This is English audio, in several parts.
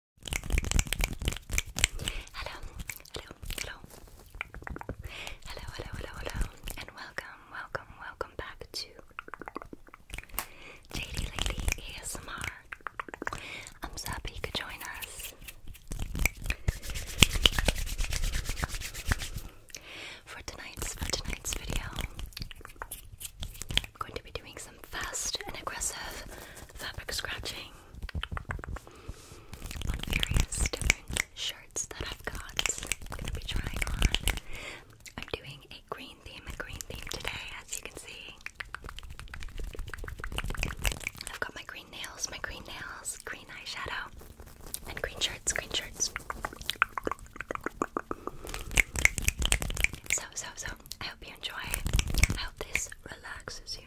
Hello, hello, hello, hello, hello, hello, hello, and welcome, welcome, welcome back to JD Lady ASMR. I'm so happy you could join us. For tonight's for tonight's video, I'm going to be doing some fast and aggressive fabric scratching on various different shirts that I've got. going to be trying on. I'm doing a green theme, a green theme today, as you can see. I've got my green nails, my green nails, green eyeshadow, and green shirts, green shirts. So, so, so I hope you enjoy. I hope this relaxes you.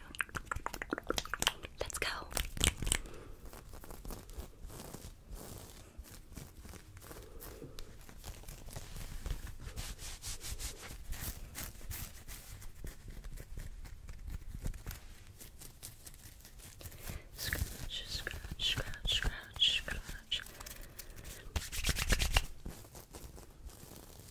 Let's go. Scratch, scratch, scratch, scratch, scratch.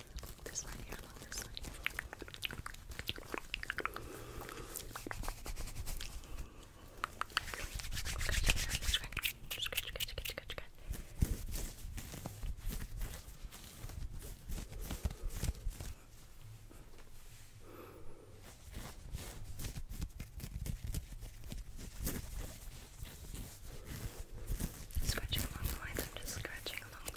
love this one here. I love this one here. Scratching along the lines, I'm just scratching along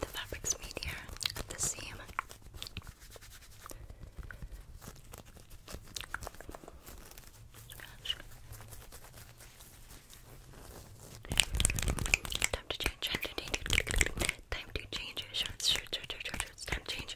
The fabric's meatier at the seam. Time to change. Time to change. Time shorts. Shorts. Shorts. Shorts. Time to change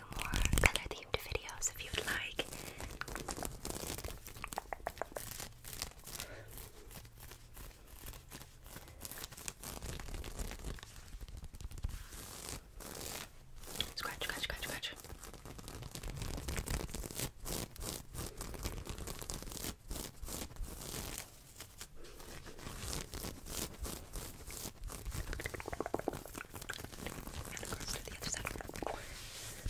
do more color themed videos if you'd like. Scratch, scratch, scratch, scratch. And across to the other side. The tips and all that. I'm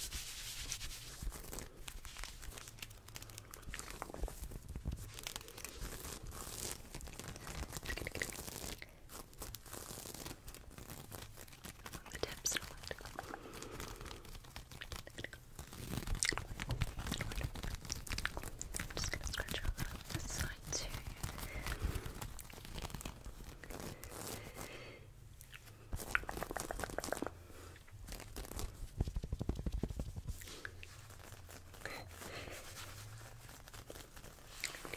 just gonna scratch around on this side too. Do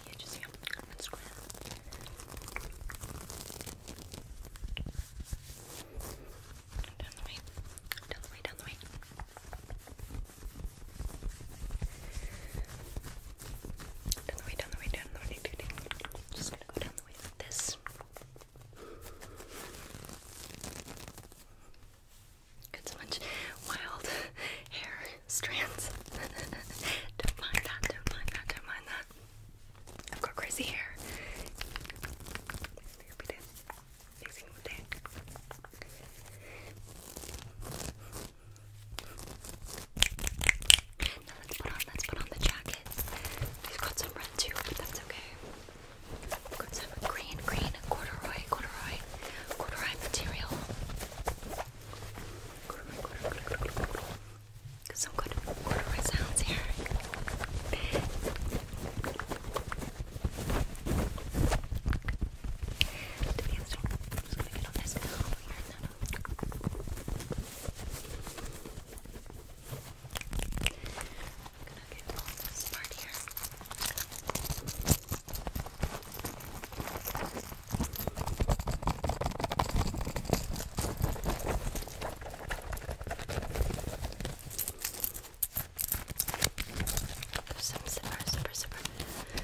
you just see on Instagram? Down the way, down the way, down the way. Down the way, down the way, down the way. Just gonna go down the way like this. It's much wild hair strands. don't mind that, don't mind that, don't mind that. I've got crazy hair. it every single day. Now let's put on let's put on the jacket. We've got some red too, but that's okay. got some green, green corduroy, corduroy, corduroy material. Corduroy, Some good corduroy sounds here gonna get all this part here. There's some super, super, super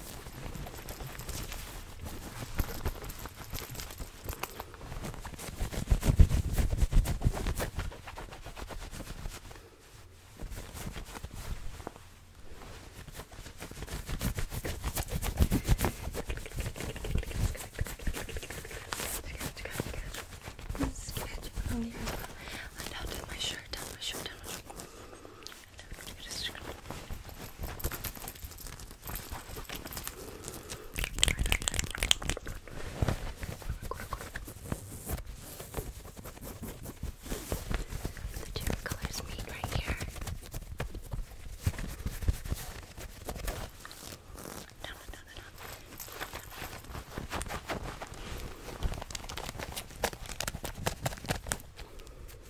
Scratch, scratch, scratch. On your elbow. And down to my shirt, down my shirt, down my shirt. Just gonna... The two colors meet right here. No, no, no, no, no.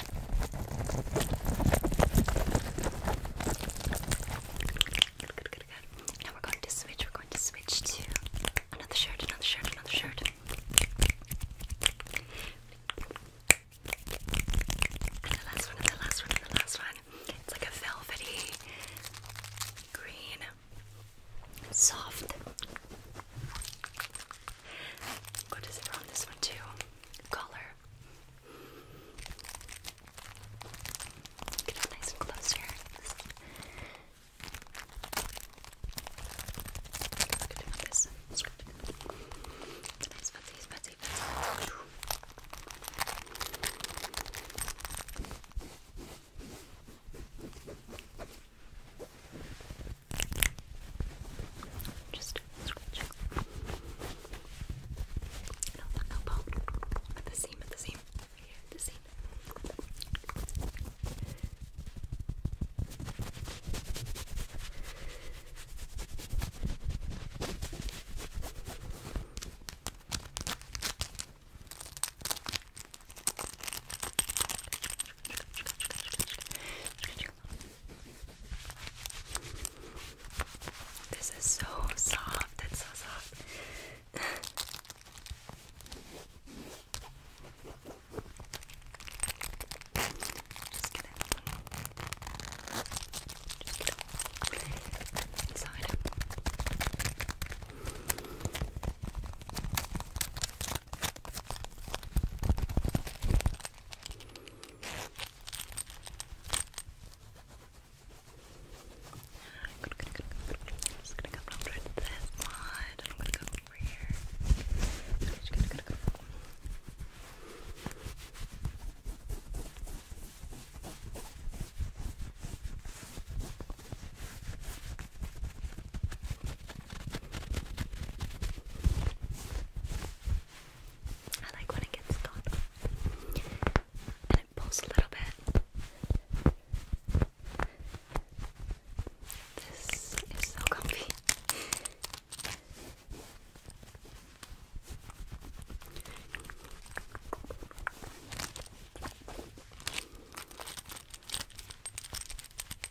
Now we're going to switch. We're going to switch to another shirt, another shirt, another shirt. And the last one, the last one, the last one. It's like a velvety green, soft. What is it on this one too? Color. Get up nice and close here. This this. It's nice, fancy, fancy, fancy. Just scratching. No, not no bone. At the seam, at the seam. At the seam. Scratch, scratch, scratch, scratch, scratch, scratch, this is so soft, it's so soft. Just kidding. Just kidding. Inside. I'm just gonna come over to this side and I'm gonna go over here. I'm just gonna, gonna go Okay, I like when it gets stuck. And it pulls a little bit. This is so comfy.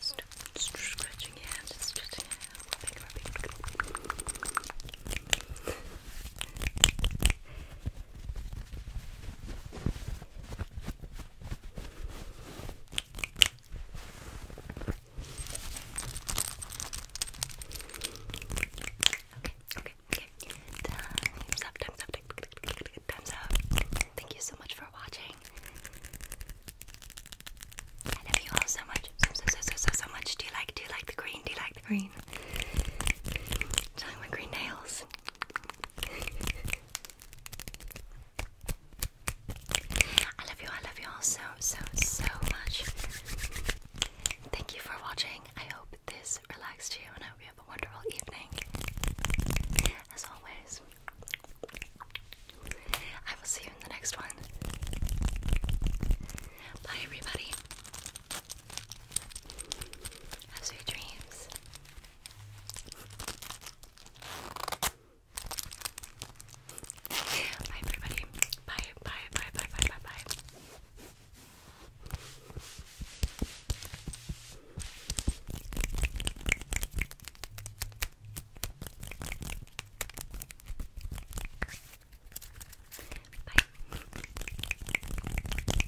Stop scratching your hand, just scratching your hand, rubbing, rubbing. Okay, okay, okay. Time's up, time's up, time's up thumbs up. Thank you so much for watching. I love you all so much. So, so, so, so, so much. Do you like, do you like the green? Do you like the green? Time with green nails. I love you, I love you all so, so, so much. Thank you for watching. I hope this relaxed you, and I hope you have a wonderful evening. As always, I will see you in the next one. Bye, everybody. Have sweet dreams. Bye, everybody. Bye, bye, bye, bye, bye, bye, bye. Bye. Good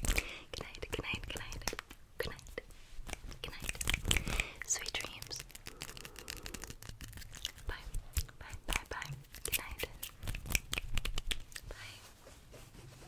night, good night, good night, good night, good night. Sweet dreams. Bye, bye, bye, bye. Good night. Bye.